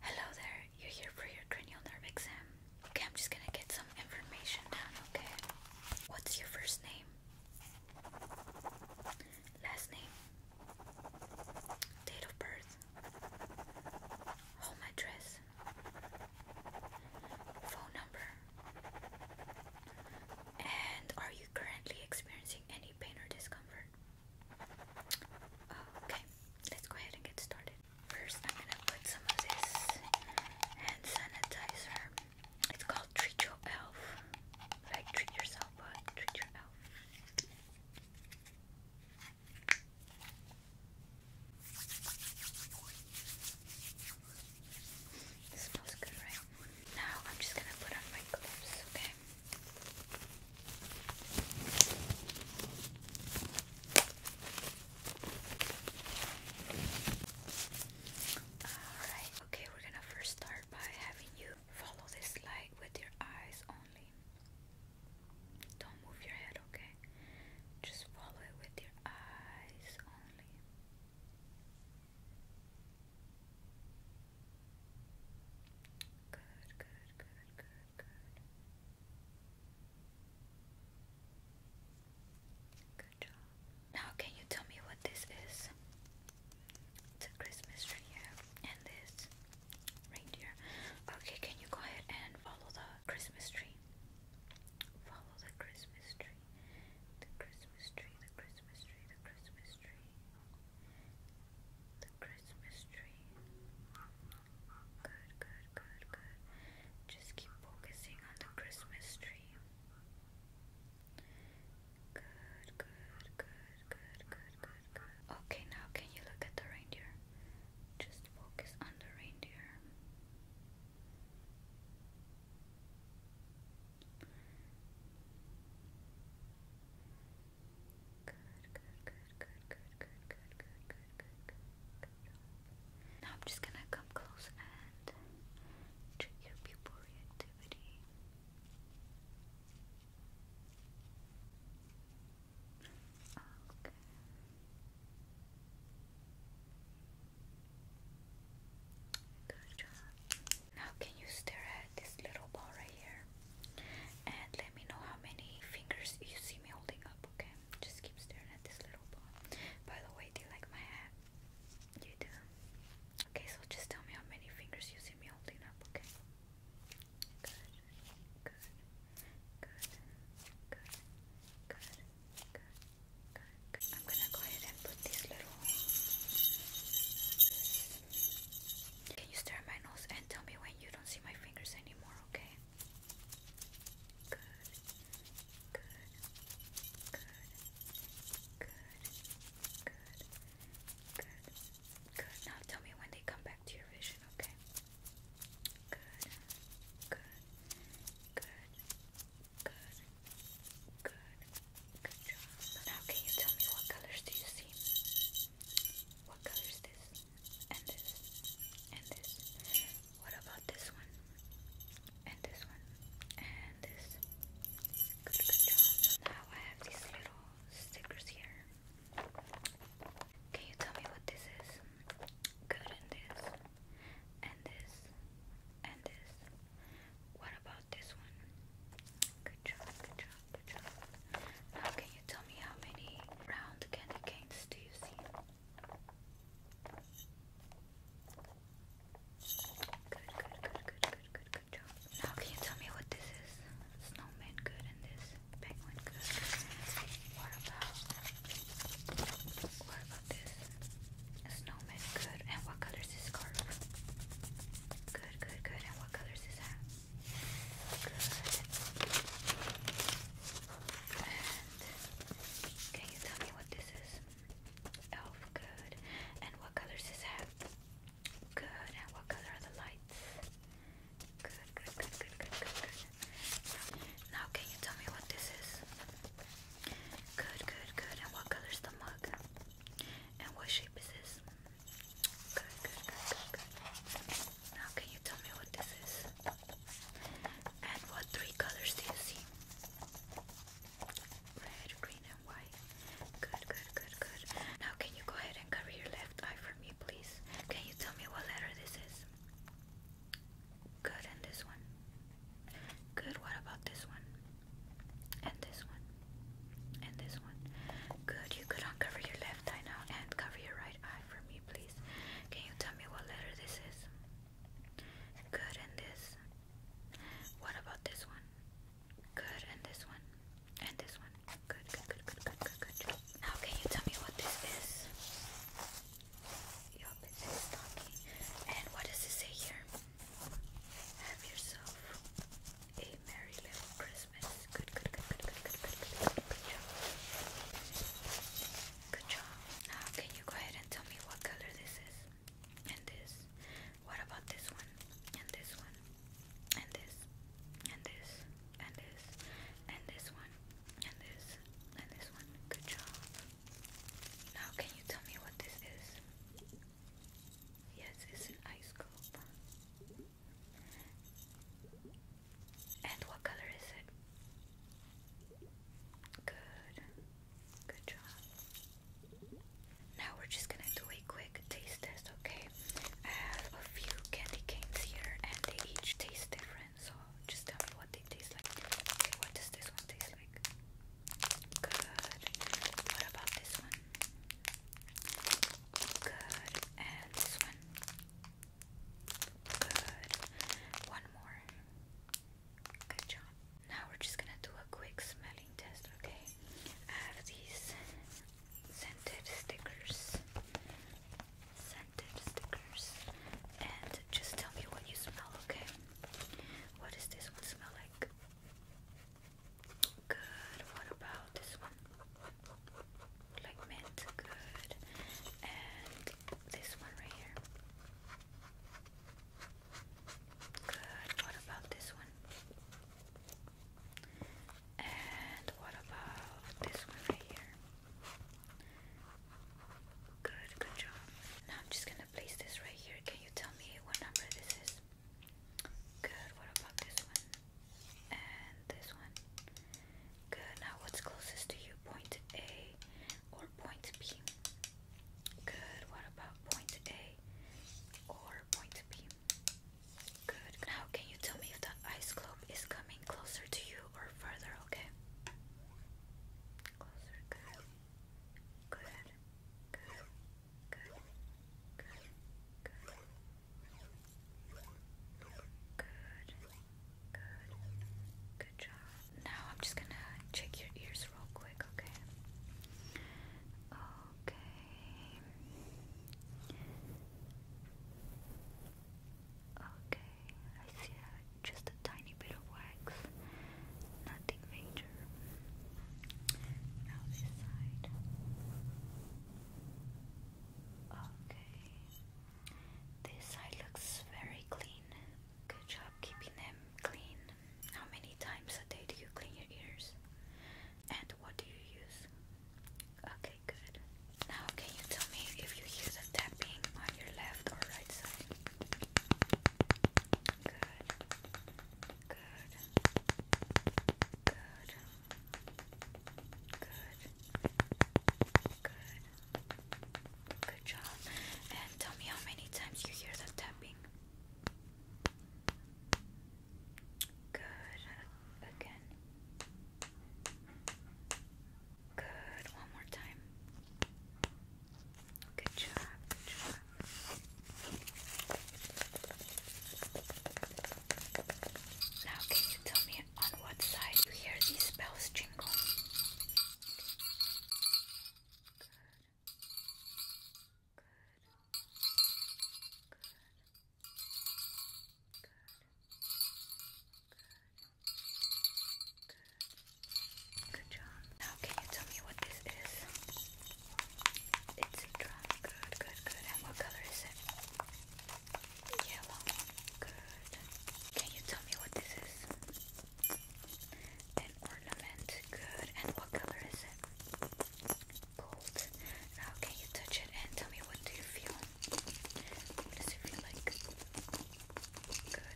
Hello there, you're here for your cranial nerve exam. Okay, I'm just gonna get some information down, okay? What's your first name? Last name? Date of birth? Home address? Phone number? And are you currently experiencing any pain or discomfort? Okay, let's go ahead and get started. First, I'm gonna put some of this hand sanitizer. It's called Treat Your Elf. Like treat yourself, but treat your elf. smells good, right? Now I'm just gonna put on my gloves, okay? Alright, okay, we're gonna first start by having you follow this light with your eyes only. Don't move your head, okay? Just follow it with your eyes only. Good, good, good, good. Good. Good job. Now, can you tell me what this is? It's a Christmas tree and this reindeer. Okay, can you go ahead and follow the Christmas tree? Follow the Christmas tree. The Christmas tree, the Christmas tree, the Christmas tree. Christmas tree. Good, good, good, good. Just keep focusing on the Christmas tree. Good, good, good, good, good, good, good. Okay, now can you look at the reindeer? Just focus on the reindeer. Now I'm just gonna come close and check your pupil reactivity. Okay. Good job. Now, can you stare at this little ball right here? And let me know how many fingers you see me holding up, okay? Just keep staring at this little ball. By the way, do you like my hat? You do? Okay, so just tell me how many fingers you see me holding up, okay? Good, good, good, good, good, good, good. I'm gonna go ahead and put this little can you stare at my nose and tell me when you don't see my fingers anymore, okay? Good. Good. Good. Good. Good. Good. Good. Now tell me when they come back to your vision, okay? Good. Good. Good. Good. Good. Good job. now can you tell me what colors do you see? What color this? And this? And this? What about this one? And this one? And this? Good, job. now I have these little stickers here. Can you tell me what this is? Good, and this? And this? And this? What about this one. Good job, good job, good job. Now, can you tell me how many round candy canes do you see? Good, good, good, good, good, good, good job. Now, can you tell me what this is? Snowman good and this penguin good. What about what about this? snowman good and what color is this scarf? Good, good, good what colors is that? Good. And what colors is that? Good. And what color are the lights? Good, good, good, good, good, good, Now can you tell me what this is? Good, good, good. And what color the mug? And what shape is this? Good, good, good, good, Now can you tell me what this is? And what three colors do you see? Red, green, and white. Good, good, good, good. Now can you go ahead and cover your left eye for me, please? Can you tell me what letter this is? Good, and this one. Good, what about this one? and this one, and this one. Good, you could uncover your left eye now and cover your right eye for me, please. Can you tell me what letter this is? Good, and this. What about this one? Good, and this one, and this one. Good, good, good, good, good, good, good. Now, can you tell me what this is? Yup, it's stocking. And what does it say here? Have yourself a merry little Christmas. Good, job. Good job. Now, can you go ahead and tell me what color this is? And this. What about this one? And this one. And this. And this. And this. And this one. And this. And this one. Good job. Now, can you tell me what this is? Yes, it's an ice cube. And what color is it? Good. Good job. Now we're just gonna do a quick taste test, okay? I have a few candy canes here and they each taste different, so just tell me what they taste like. Okay, what does this one taste like? Good. What about this one? Good. And this one? Good. One more. Good job. Now we're just gonna do a quick smelling test, okay? I have these scented stickers. Scented stickers. And just tell me what you smell, okay? What does this one smell like? Good. What about this one? Like mint. Good. And this one right here. Good. What about this one? And what about this one right here? Good, good job. Now I'm just gonna place this right here. Can you tell me what number this is? Good, what about this one? And this one? Good, now what's closest to you? Point A or point B? Good, what about point A or point B? Good, now can you tell me if the ice cube is coming closer to you or further, okay? Closer, Good. Good. Good. Good. Good. Good. Good. Good job. Now I'm just gonna check your ears real quick, okay? Okay. Okay, I see just a tiny bit of wax, nothing major. Now this side. Okay. This side looks very clean. Good job keeping them clean. How many times a day do you clean your ears? And what do you use? Okay, good. Now, can you tell me if you hear the tapping on your left or right side? Good. Good. Good. Good. Good. Good job. And tell me how many times you hear the tapping. Good. Again. Good. One more time. Good job. Now, can you tell me on what side you hear these bells jingle? Good. Good. Good. Good. Good job. Now, can you tell me what this is? It's a drum. Good, good, good. And what color is it? Yellow. Good. Can you tell me what this is? An ornament. Good. And what color is it? Gold. Now, can you touch it and tell me what do you feel? What does it feel like? Good,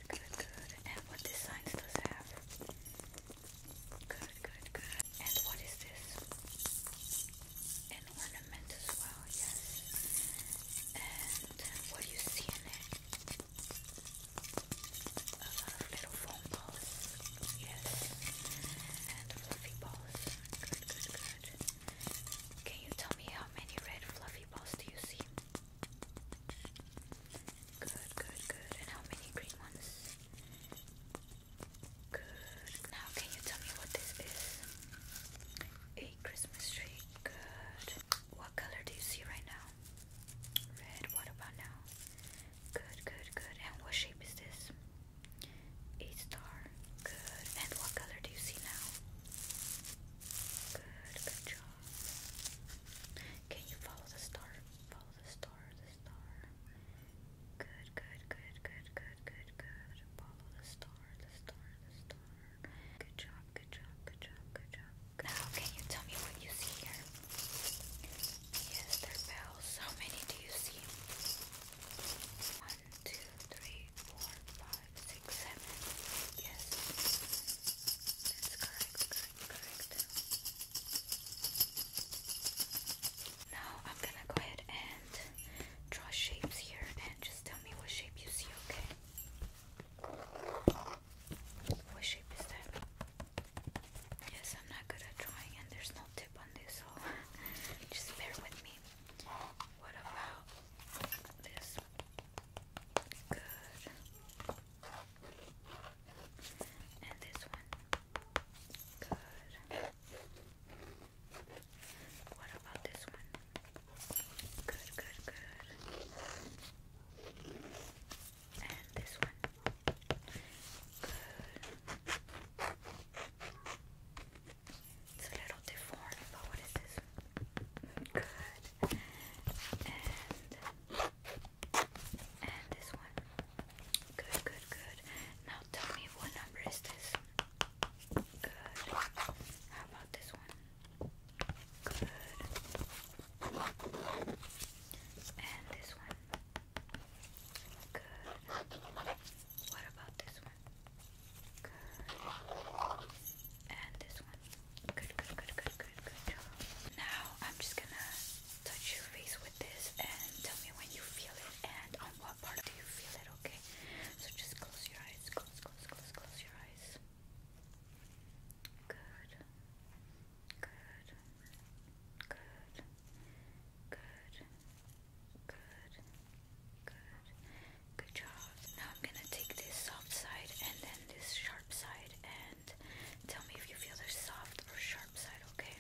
good, good. And what designs does have? Good, good, good. And what is this? An ornament as well, yes. And what do you see in it? A lot of little foam balls, yes. And fluffy balls. Good, good, good. Can you tell me how many red fluffy balls do you see? Good, good, good. And how many green ones? Good. Now, can you tell me what this is? A Christmas tree. Good. What color do you see right now? Red. What about now? Good, good, good. And what shape is this? A star. Good. And what color do you see now? Good, good job. Can you follow the star? Follow the star, the star. Good, good, good, good, good, good, good. Follow the star, the star, the star. Good job, good job, good job, good job. Now, can you tell me what you see here? Yes, they're bells. How many do you see? One, two, three, four, five five, six, seven. Yes. That's correct, correct, correct. Now I'm gonna go ahead and draw shapes here and just tell me what shape you see, okay? What shape is that? Yes, I'm not good at drawing and there's no tip on this, so just bear with me. What about this? Good. And this one. Good. What about this one? Good, good, good. And this one. Good. It's a little different, but what is this? Good. And this one. Good, good, good. Now tell me what number is this? Good. How about this one? Good. And this one. Good. What about this Good. And this one. Good, good, good, good, good, good. Now I'm just gonna touch your face with this and tell me when you feel it and on what part do you feel it, okay? So just close your eyes. Close, close, close, close your eyes. Good. Good. Good. Good. Good. Good. Good job. Now I'm gonna take this soft side and then this sharp side and tell me if you feel the soft or sharp side, okay?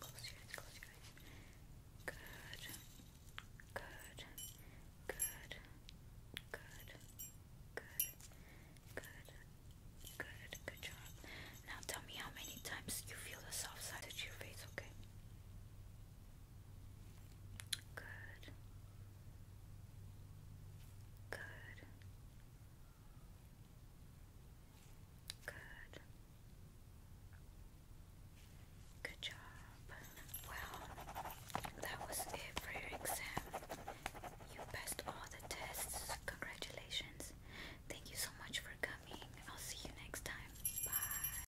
Close your eyes, close your eyes. Good. Good. Good. Good. Good. Good. Good. Good job. Now tell me how many times you feel the soft side of your face, okay? Good. Good. Good. Good job. Well, that was it for your exam. You passed all the tests. Congratulations. Thank you so much for coming. I'll see you next time. Bye.